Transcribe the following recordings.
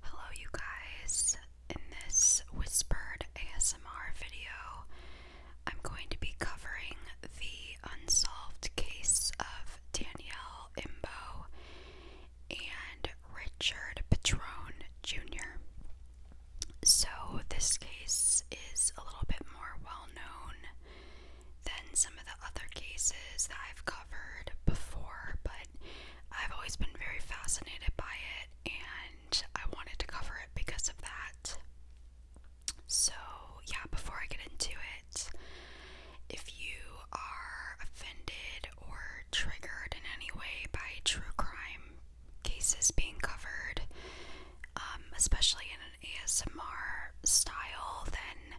Hello, you guys. In this whispered ASMR video, I'm going to be covering the unsolved case of Danielle Imbo and Richard Patrone Jr. So, this case is a little bit more well known than some of the other cases that I've covered before, but I've always been very fascinated by it and I wanted to cover it because of that. So, yeah, before I get into it, if you are offended or triggered in any way by true crime cases being covered, um, especially in an ASMR style, then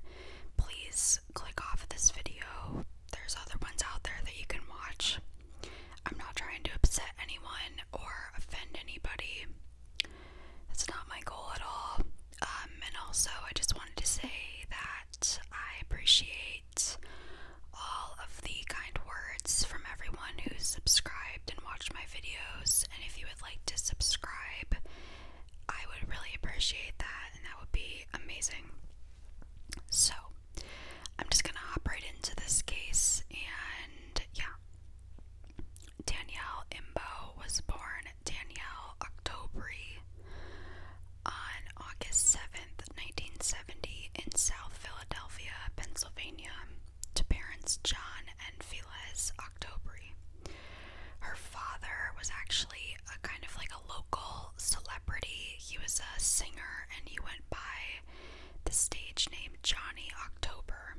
please click off of this video there's other ones out there that you can watch. I'm not trying to upset anyone or offend anybody. That's not my goal at all. Um, and also, I just wanted to say that I appreciate all of the kind words from everyone who's subscribed and watched my videos. And if you would like to subscribe, I would really appreciate that, and that would be amazing. So, I'm just gonna hop right into this case, and yeah. Danielle Imbo was born Danielle Octobri on August 7th, 1970, in South Philadelphia, Pennsylvania, to parents John and Phyllis Octobri. Her father was actually a kind of like a local celebrity. He was a singer and he went by the stage name Johnny October.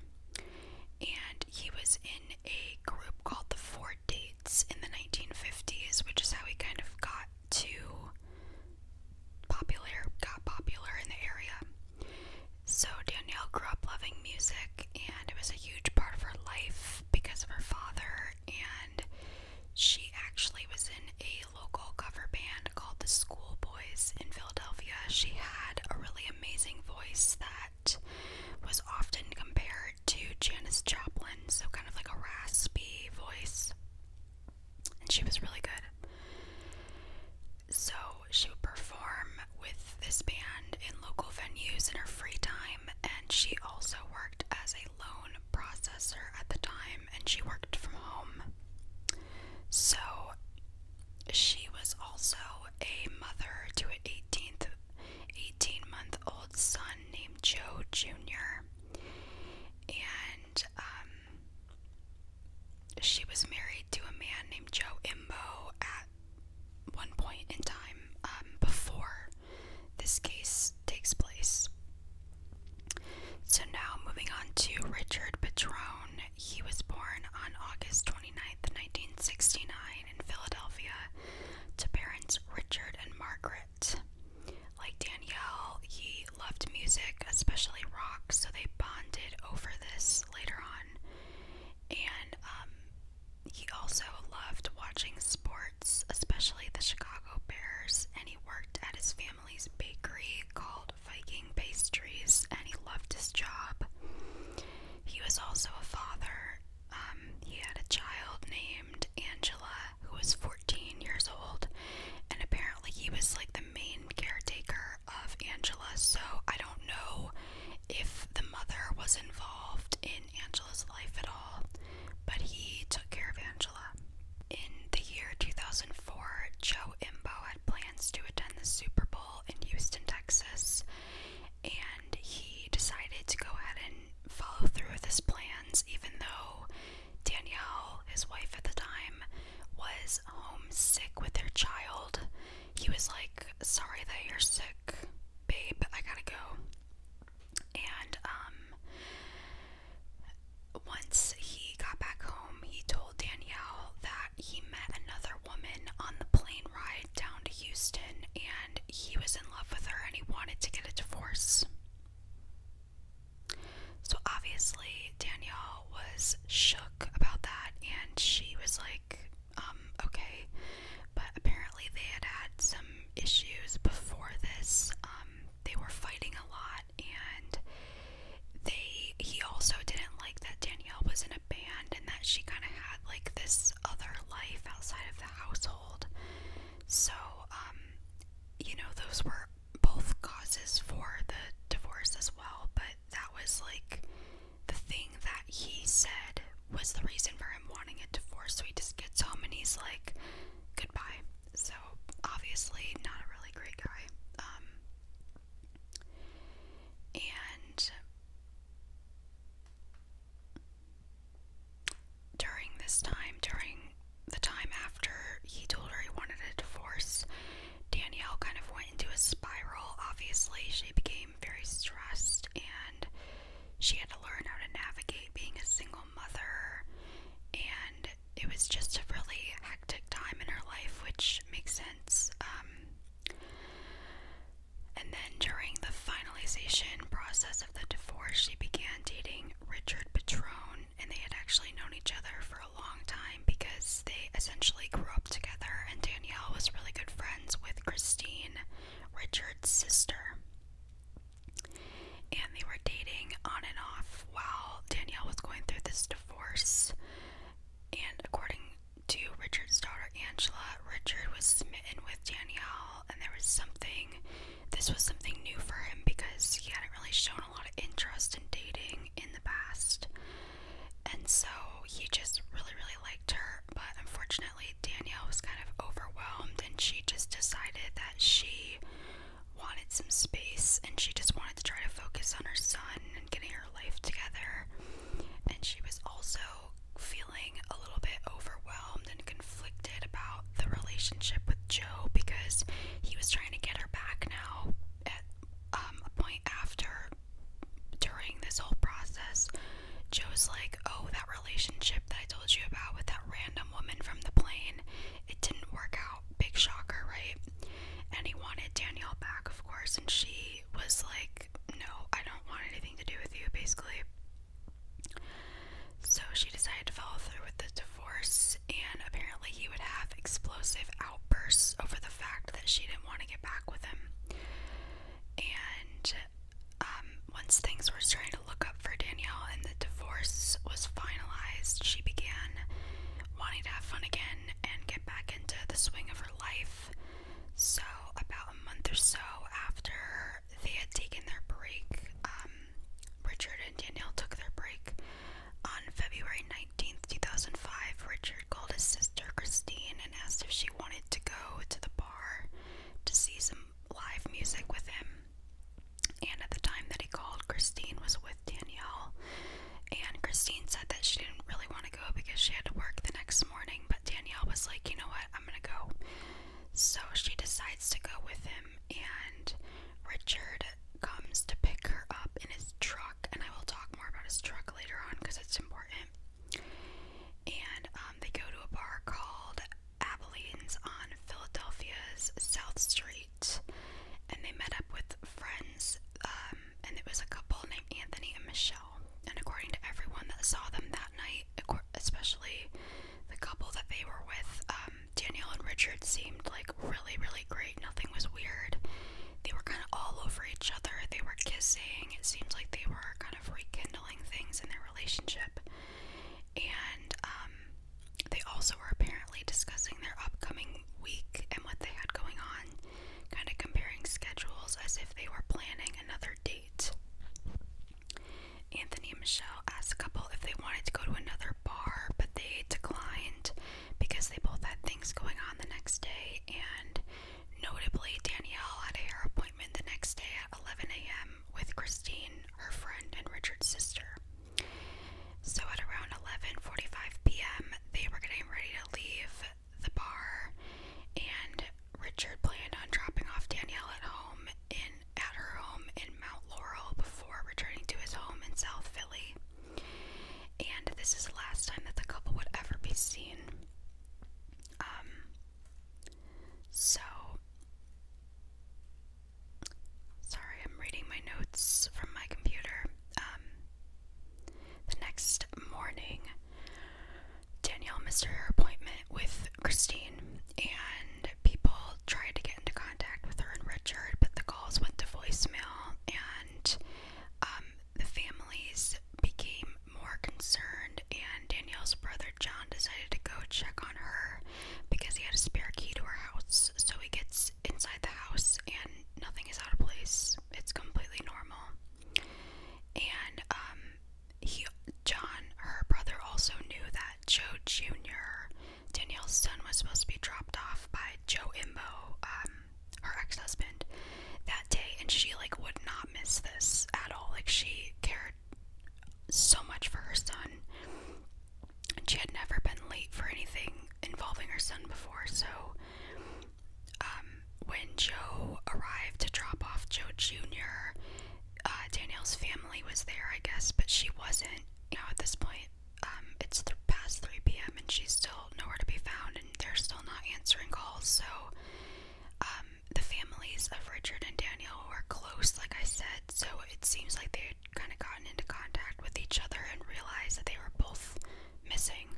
And he was in a group called the Four Dates in the 1950s, which is how he kind of got to popular, got popular in the area. So Danielle grew up loving music and it was a huge part of her life because of her father and she actually was in a local cover band called the Schoolboys in Philadelphia. She had a really amazing voice that was often compared to Janis Joplin, so kind of like a raspy voice. And she was really good. So she would perform with this band in local venues in her free time, and she also worked as a a loan processor at the time and she worked from home. So she was also a mother to an 18th 18 month old son named Joe Jr. And um she was married to a man named Joe Imbo at one point in time um, before this case takes place. So now moving on to Richard Patrone. He was born on August 29th, 1969 in Philadelphia to parents Richard and Margaret. Like Danielle, he loved music, especially rock, so they bonded over this later on. And um, he also loved watching sports sports, especially the Chicago Bears, and he worked at his family's bakery called Viking Pastries, and he loved his job. He was also a father. Um, he had a child named Angela who was 14 years old, and apparently he was like the main caretaker of Angela, so I don't know if the mother was involved in Angela's life at all, but he took care of Angela. In the year 2004, Joe Imbo had plans to attend the Super Bowl in Houston, Texas, and he decided to go ahead and follow through with his plans, even though Danielle, his wife at the time, was homesick with their child. He was like, Sorry that you're sick, babe, I gotta go. And um, once he got back home, he told Danielle that he met another woman on the plane ride down to Houston and he was in love with her and he wanted to get a divorce. So obviously, Danielle was shook about that and she was like, um, okay. But apparently, they had had some issues before this. Um, they were fighting a lot, and they he also didn't like that Danielle was in a band and that she kind of had like this other life outside of the household. So, um, you know, those were both causes for the divorce as well, but that was like the thing that he said was the reason for him wanting a divorce. So he just gets home and he's like, Goodbye. So obviously not a really great guy. Um, and during this time, during the time after he told her he wanted a divorce, Danielle kind of went into a spiral. Obviously, she became very stressed and she had to learn how to navigate being a single mother, and it was just a really hectic time in her life, which makes sense. Um, and then during the finalization process of the divorce, she began dating Richard Patrone, and they had actually known each other for a long time because they essentially grew up together, and Danielle was really good friends with Christine, Richard's sister and they were dating on and off while Danielle was going through this divorce. And according to Richard's daughter Angela, Richard was smitten with Danielle, and there was something, this was something new for him because he hadn't really shown a lot of interest in dating in the past. And so he just really, really liked her, but unfortunately, Danielle was kind of overwhelmed and she just decided that she wanted some space and she just wanted to try to focus on her son and getting her life together. And she was also feeling a little bit overwhelmed and conflicted about the relationship with Joe because he was trying to get her back now at um, a point after during this whole process. Joe's like, Oh, that relationship that I told you about with that random woman from the plane. It didn't work out. Big shocker, right? And he wanted Danielle back, of course, and she was like, No, I don't want anything to do with you, basically. So she decided to follow through with the divorce, and apparently he would have explosive outbursts over the fact that she didn't want to get back with him. And um, once things were starting to look up for Danielle and the divorce was finalized, she began wanting to have fun again and get back into the swing of her life. So, about a month or so after they had taken their break, um, Richard and Danielle took their break. On February 19th, 2005, Richard called his sister Christine and asked if she wanted to go to the bar to see some live music with him. And at the time that he called, Christine was with Danielle. And Christine said that she didn't really want to go because she had to work the next morning. But Danielle was like, you know what, I'm going to go. So she decides to go with him. And Richard comes to pick her up in his truck. And I will talk more about his truck later on because it's important. And um, they go to a bar called Abilene's on Philadelphia's South Street, and they met up with friends, um, and it was a couple named Anthony and Michelle. And according to everyone that saw them that night, especially the couple that they were with, um, Danielle and Richard seemed like really, really great. Nothing was weird. They were kind of all over each other. They were kissing. It seemed like they were kind of rekindling things in their relationship and um, they also were apparently discussing their upcoming week and what they had going on, kind of comparing schedules as if they were planning another date. Anthony and Michelle asked the couple if they wanted to go to another bar, but they declined because they both had things going on the next day. And notably, Danielle had a hair appointment the next day at 11 a.m with Christine, her friend, and Richard's sister. So at around 11:45 p.m., they were getting ready to leave the bar, and Richard planned on dropping off Danielle at home in at her home in Mount Laurel before returning to his home in South Philly. And this is the last time that the couple would ever be seen. Um. So Sorry, I'm reading my notes from my computer. Um, the next morning, Danielle missed her appointment with Christine, and people tried to get into contact with her and Richard, but the calls went to voicemail, and um, the families became more concerned. And Danielle's brother John decided to go check on her because he had a spare key to her house. So he gets inside the house and nothing is out of place. It's completely normal. And um he John, her brother also knew that Joe Jr., Danielle's son, was supposed to be dropped off by Joe Imbo, um, her ex-husband, that day, and she like would not miss this at all. Like she cared so much for her son. And she had never been late for anything involving her son before, so um, when Joe arrived to drop off Joe Jr., uh, Danielle's family was there, I guess, but she wasn't. You know, at this point, um, it's past 3 p.m. and she's still nowhere to be found, and they're still not answering calls, so um, the families of Richard and Daniel were close, like I said, so it seems like they had kind of gotten into contact with each other and realized that they were both missing.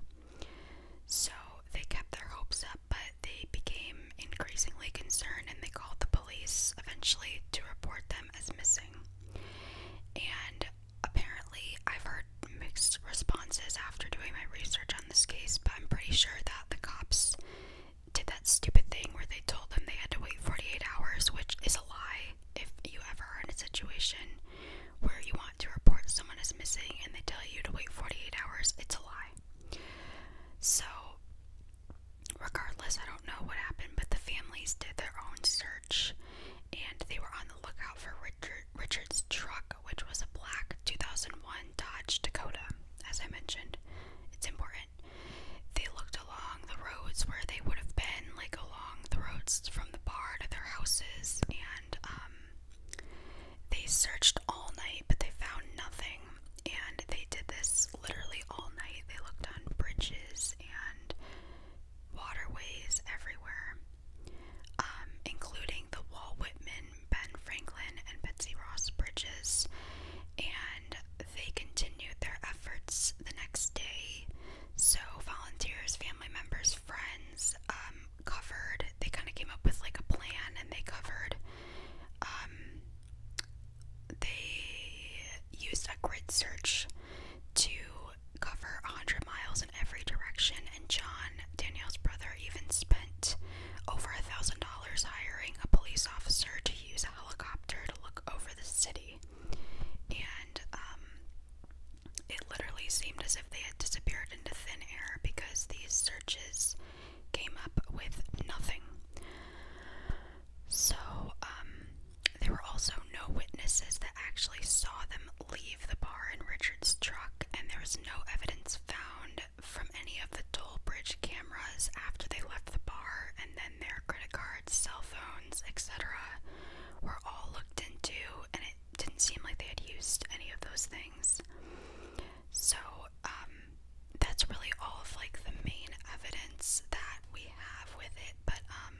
So they kept their hopes up, but they became increasingly concerned and they called the police eventually to report them as missing. And apparently, I've heard mixed responses after doing my research on this case, but I'm pretty sure that the cops did that stupid thing where they told them they had to wait 48 hours, which is a lie. If you ever are in a situation where you want to report someone is missing and they tell you to wait 48 hours, it's a lie. So, regardless, I don't know what happened, but the families did their own search and they were on the lookout for Richard, Richard's truck, which was a black 2001 Dodge Dakota, as I mentioned. It's important different. They looked along the roads where they would have been, like along the roads from the bar to their houses, and um, they searched all night, but they found nothing. And they did this literally all night. They looked on bridges and waterways everywhere, um, including the Walt Whitman, Ben Franklin, and Betsy Ross bridges. And they continued their efforts the next day. So, volunteers, family members, friends um, covered, they kind of came up with like a plan and they covered. Um, they used a grid search to cover 100 miles in every direction, and John, Daniel's brother, even spent over a thousand dollars hiring a police officer to use use a helicopter to look over the city, and um, it literally seemed as if they had disappeared into thin air because these searches came up with nothing. So, um, there were also no witnesses that actually saw them leave the bar in Richard's truck, and there was no evidence found from any of the toll bridge cameras after they left the bar, and then their credit cards, cell phones, etc., were all looked into, and it didn't seem like they had used any of those things. So, um, that's really all of like the main evidence that we have with it, but, um,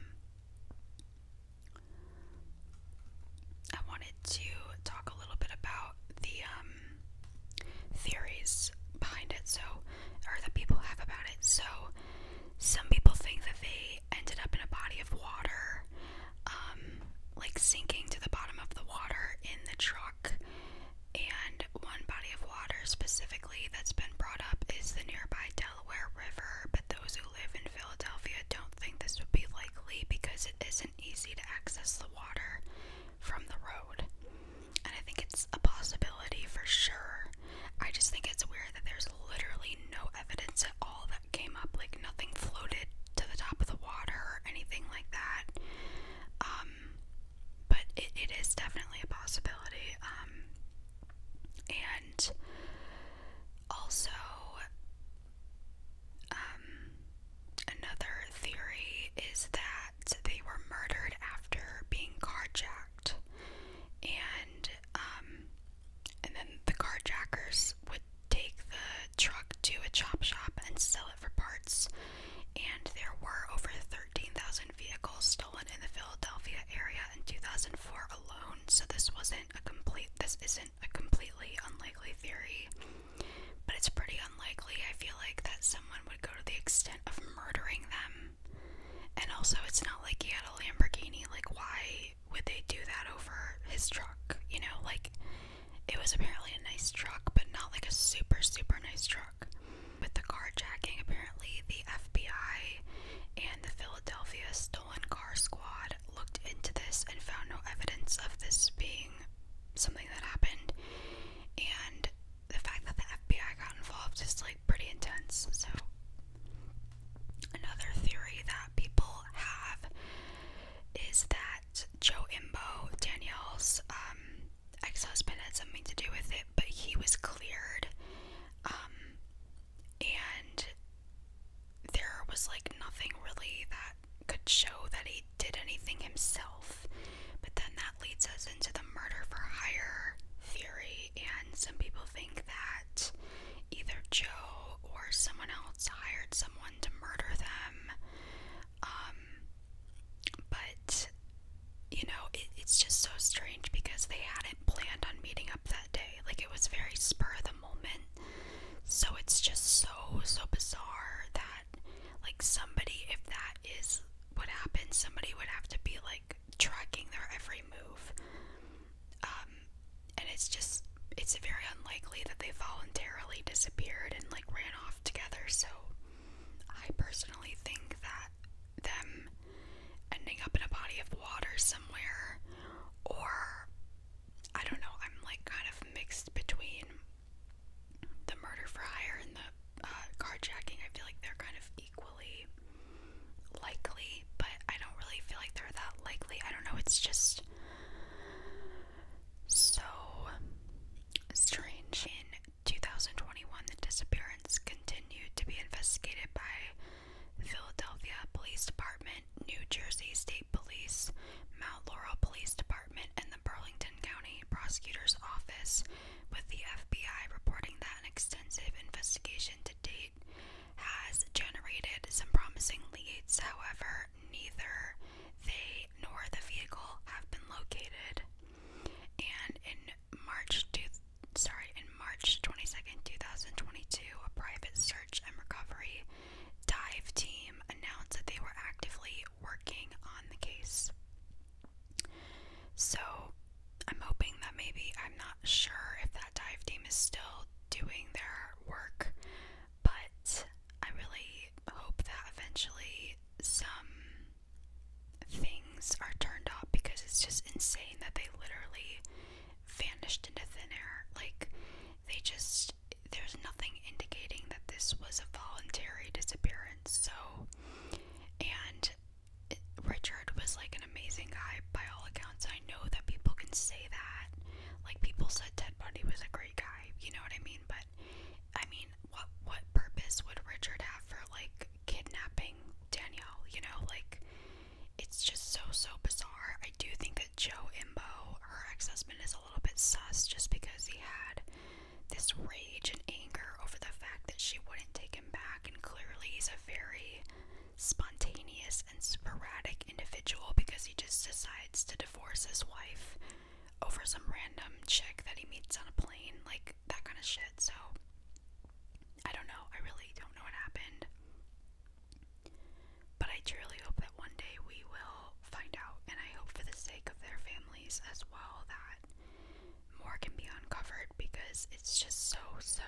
I wanted to talk a little bit about the um theories behind it, so or that people have about it. So some people think that they ended up in a body of water, um, like sinking to the bottom of the water in the truck. And one body of water specifically that's been brought up is the nearby Delaware River, but those who live in Philadelphia don't think this would be likely because it isn't easy to access the water from the road and I think it's a possibility for sure. I just think it's weird that there's literally no evidence at all that came up, like nothing floated to the top of the water or anything like that. Um, but it, it is definitely a possibility. Um, and also, um, another theory is that they were murdered after being carjacked, and um, and then the carjackers would take the truck to a chop shop and sell it for parts. And there were over 13,000 vehicles stolen in the Philadelphia area in 2004 alone. So this wasn't a complete. This isn't a completely unlikely theory, but it's pretty unlikely. I feel like that someone would go to the extent of murdering them. And also, it's not like he had a Lamborghini. Like, why would they do that over his truck? You know, like, it was apparently a nice truck, but not like a super, super nice truck. With the carjacking, apparently, the FBI and the Philadelphia Stolen Car Squad looked into this and found no evidence of this being something that happened. And the fact that the FBI got involved is like pretty intense. So, another theory that people have is that Joe Imbo, Danielle's um, ex husband, had something to do with it, but he was cleared. Um, and there was like nothing really that could show that he did anything himself. But then that leads us into the murder for hire theory, and some people think that either Joe or someone else hired someone to murder them. Um, but you know, it's just so strange because they hadn't planned on meeting up that day. Like it was very spur of the moment. So it's just so so bizarre that like somebody if that is what happens? somebody would have to be like tracking their every move. Um, and it's just, it's very unlikely that they voluntarily disappeared and like ran off together. So I personally think that them ending up in a body of water somewhere, or I don't know, I'm like kind of mixed between the murder for hire and the uh, carjacking, I feel like they're kind of equally likely, but I don't really feel like they're that likely. I don't know, it's just so strange. In 2021, the disappearance continued to be investigated by the Philadelphia Police Department, New Jersey State Police, Mount Laurel Police Department, and the Burlington County Prosecutor's Office with the FBI reporting that an extensive investigation to date has generated some promising leads. However, neither they nor the vehicle have been located. And in March sorry, in March 22nd, 2022, a private search and recovery dive team announced that they were actively working on the case. So I'm hoping that maybe I'm not sure if that dive team is still doing their work, but I really hope that eventually some things are turned up because it's just insane that they literally vanished into thin air. Like, they just, there's nothing indicating that this was a voluntary disappearance. So, and Richard was like an amazing guy by all accounts. I know that people can say that. Like people said Ted Bundy was a great guy, you know what I mean? But I mean, what what purpose would Richard have for like kidnapping Danielle, you know? Like it's just so so bizarre. I do think that Joe Imbo, her ex-husband is a little bit sus just because he had this rage and anger over the fact that she wouldn't take him back. And clearly, he's a very spontaneous and sporadic individual because he just decides to divorce his wife over some random chick that he meets on a plane, like that kind of shit. So, I don't know. I really don't know what happened. But I truly hope that one day we will find out, and I hope for the sake of their families as well that more can be uncovered because it's just so, so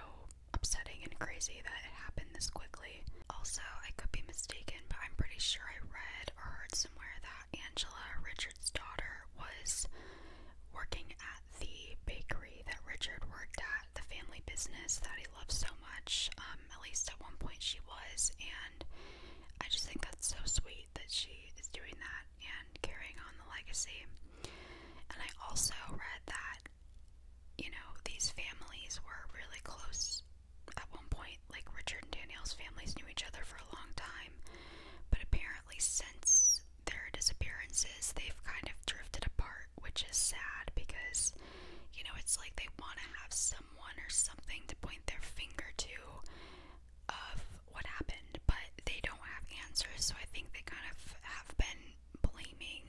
upsetting and crazy that it happened this quickly. Also, I could be mistaken, but I'm pretty sure I read or heard somewhere that Angela, Richard's daughter, was working at the bakery that Richard worked at, the family business that he loved so much. Um, at least at one point she was, and I just think that's so sweet that she is doing that and carrying on the legacy. And I also read that, you know, these families were really close at one point. Like Richard and Danielle's families knew each other for a long time, but apparently, since their disappearances, they've kind of drifted apart, which is sad because, you know, it's like they want to have someone or something to point their finger to of what happened, but they don't have answers, so I think they kind of have been blaming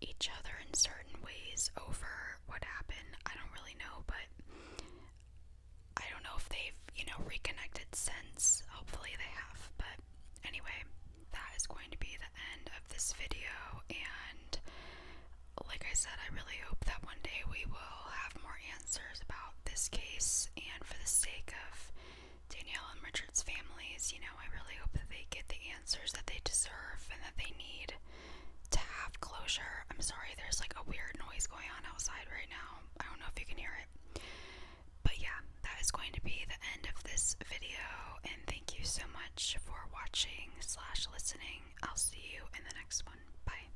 each other in certain ways over what happened. I don't really know, but I don't know if they've, you know, reconnected since. Hopefully they have, but anyway, that is going to be the end of this video and like I said, I really hope that one day we will have more answers about this case, and for the sake of Danielle and Richard's families, you know, I really hope that they get the answers that they deserve and that they need to have closure. I'm sorry, there's like a weird noise going on outside right now. I don't know if you can hear it. But yeah, that is going to be the end of this video, and thank you so much for watching slash listening. I'll see you in the next one. Bye.